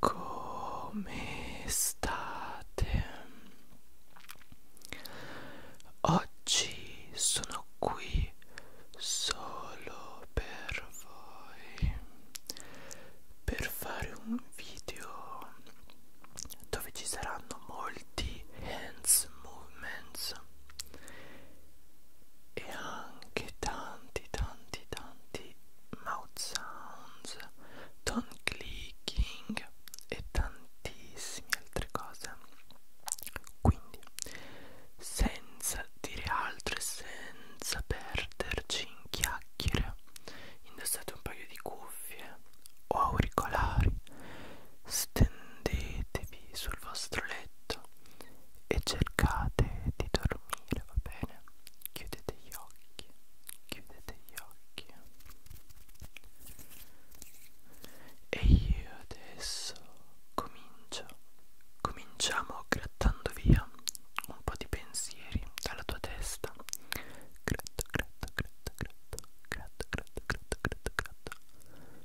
Come state? Oggi sono qui solo per voi per fare un video dove ci saranno molti hands movements e anche tanti tanti tanti mouth sounds, tongue clicking e tantissime altre cose quindi senza dire altro e senza perderci in chiacchiere indossate un paio di cuffie o auricolari stendetevi sul vostro letto e cercate di dormire, va bene? Chiudete gli occhi, chiudete gli occhi. E io adesso comincio, cominciamo grattando via un po' di pensieri dalla tua testa. Gratto, gratto, gratto, gratto, gratto, gratto, gratto, gratto, gratto.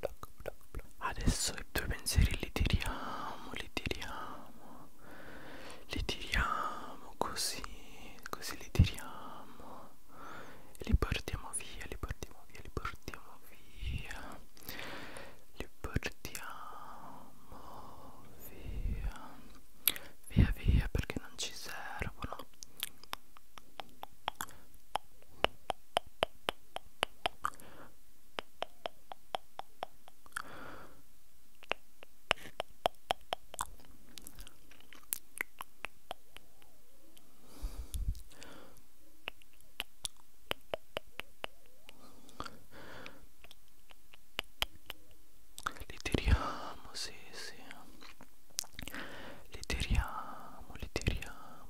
bloc, bloc, bloc. Adesso i tuoi pensieri li tiriamo, li tiriamo, li tiriamo così, così li tiriamo e li portiamo via, li portiamo via, li portiamo via, li portiamo via, via via perché non ci servono. Li tiriamo, sì, sì. Li tiriamo, li tiriamo.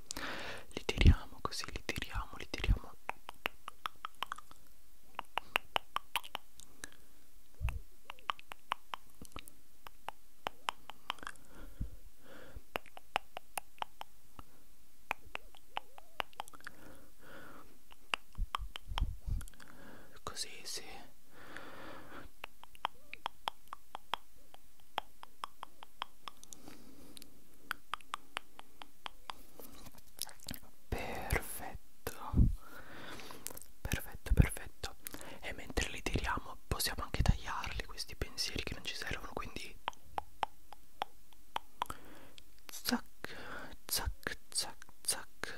3 li tiriamo così li tiriamo li tiriamo Così sì Perfetto, perfetto, perfetto. E mentre li tiriamo possiamo anche tagliarli questi pensieri che non ci servono, quindi... Zac, zac, zac, zac.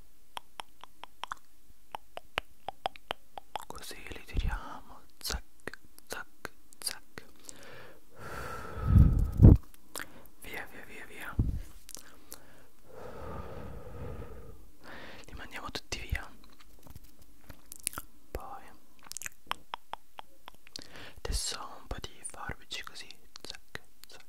così li tiriamo zac zac zac via via via via li mandiamo tutti via poi adesso un po' di forbici così zac zac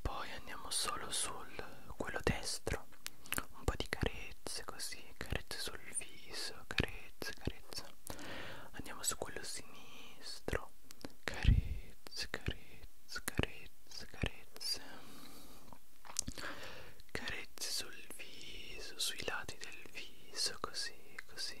poi andiamo solo sul quello destro un po' di carezze così carezze sul viso carezze carezze andiamo su quello sinistro carezze carezze carezze carezze carezze sul viso sui lati del viso così così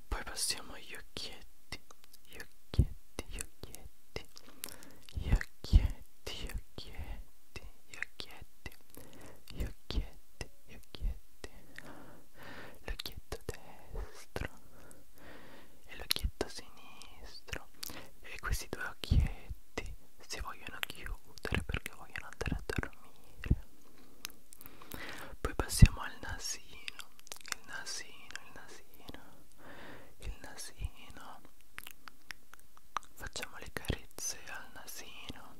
poi passiamo agli occhietti gli occhietti gli occhietti gli occhietti gli occhietti gli occhietti gli occhietti gli occhietti l'occhietto destro e l'occhietto sinistro e questi due occhietti si vogliono chiudere perché vogliono andare a dormire poi passiamo al nasino il nasino il nasino il nasino facciamo le carezze al nasino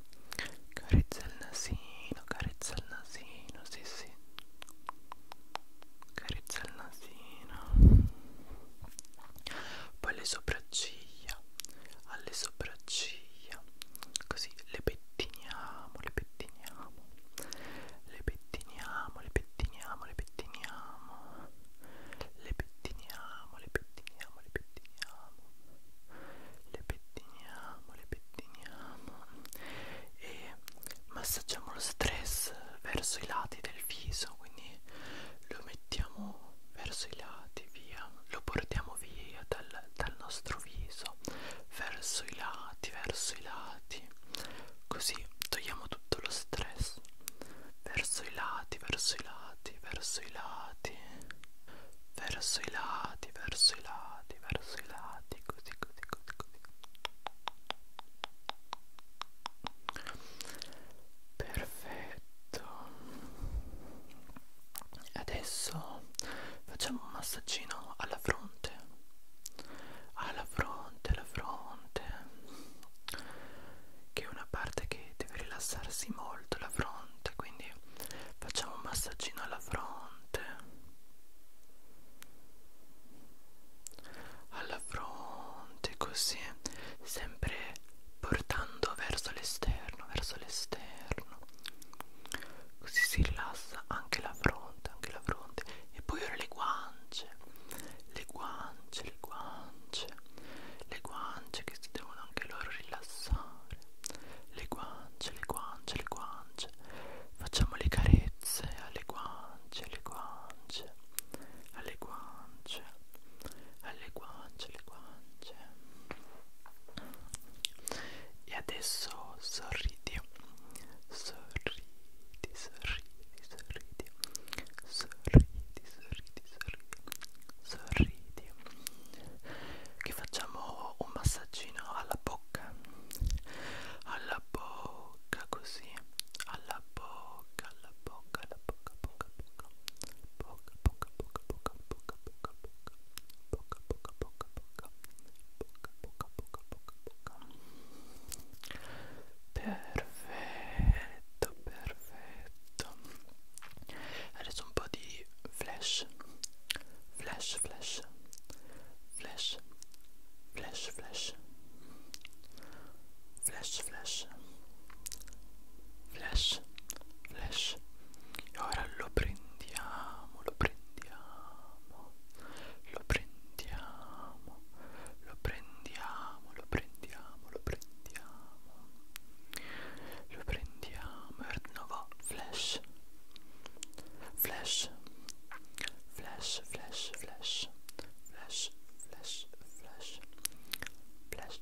carezza il nasino carezza il nasino sì sì carezza il nasino poi le sopracciglia alle sopracciglia così le pettiniamo le pettiniamo le pettiniamo le pettiniamo le pettiniamo le pettiniamo le pettiniamo le pettiniamo le pettiniamo le pettiniamo e massaggiamo lo stress verso i lati del viso quindi lo mettiamo verso i lati via portiamo, lo portiamo via dal, dal nostro viso verso i lati, verso i lati, così togliamo tutto lo stress verso i lati, verso i lati, verso i lati, verso i lati, verso i lati, verso i lati, così, così, così, così. Perfetto adesso facciamo un massaggino alla fronte alla fronte alla fronte che è una parte che deve rilassarsi molto la fronte quindi facciamo un massaggino alla fronte alla fronte così sempre portando verso l'esterno verso l'esterno così si rilassa anche la fronte anche la fronte e poi ora le guance le guance le guance le guance che si devono anche loro rilassare le guance le guance le guance facciamo le carezze alle guance alle guance alle guance alle guance alle guance guance e adesso sorridi sorridi sorridi sorridi sorridi sorridi sorridi sorridi che facciamo un massaggino alla bocca alla bocca così alla bocca alla bocca alla bocca bocca bocca bocca bocca bocca bocca bocca bocca bocca bocca bocca bocca bocca bocca bocca bocca bocca perfetto perfetto adesso un po' di flash flash flash flash flash flash flash flash flash Lash e ora lo prendiamo lo prendiamo lo prendiamo lo prendiamo lo prendiamo lo prendiamo lo prendiamo e di nuovo flash flash flash flash flash flash flash flash flash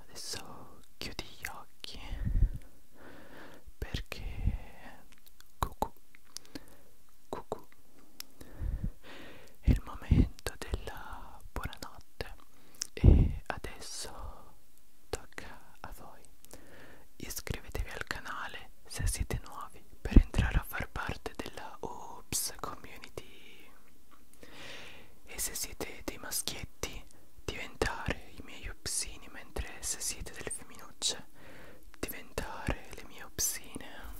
adesso chiudi gli occhi perché cucù cucù è il momento della buonanotte e adesso tocca a voi iscrivetevi al canale se siete nuovi per entrare a far parte della Oops Community e se siete dei maschietti, diventare i miei upsini, mentre se siete delle femminucce, diventare le mie upsine.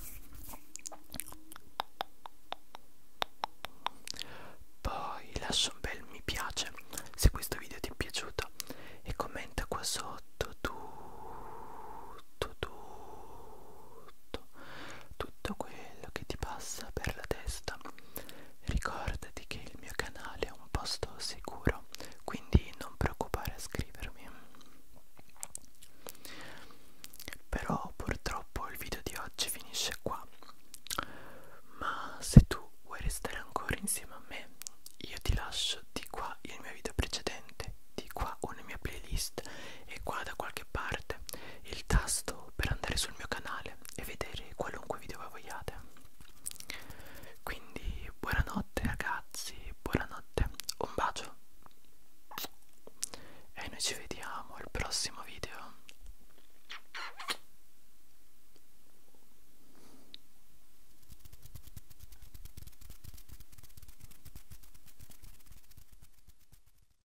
Poi lascia un bel mi piace se questo video ti è piaciuto e commenta qua sotto tutto tutto tutto, tutto quello che ti passa per la testa. Ricordati che il mio canale è un posto sicuro, quindi non preoccupare a scrivermi. Però purtroppo il video di oggi finisce qua. Ma se tu vuoi restare ancora insieme a me, io ti lascio di qua il mio video precedente, di qua una mia playlist e qua da qualche qualche parte il tasto per andare sul mio canale e vedere qualunque video voi vogliate. Quindi buonanotte ragazzi, buonanotte, un bacio e noi ci vediamo al prossimo video.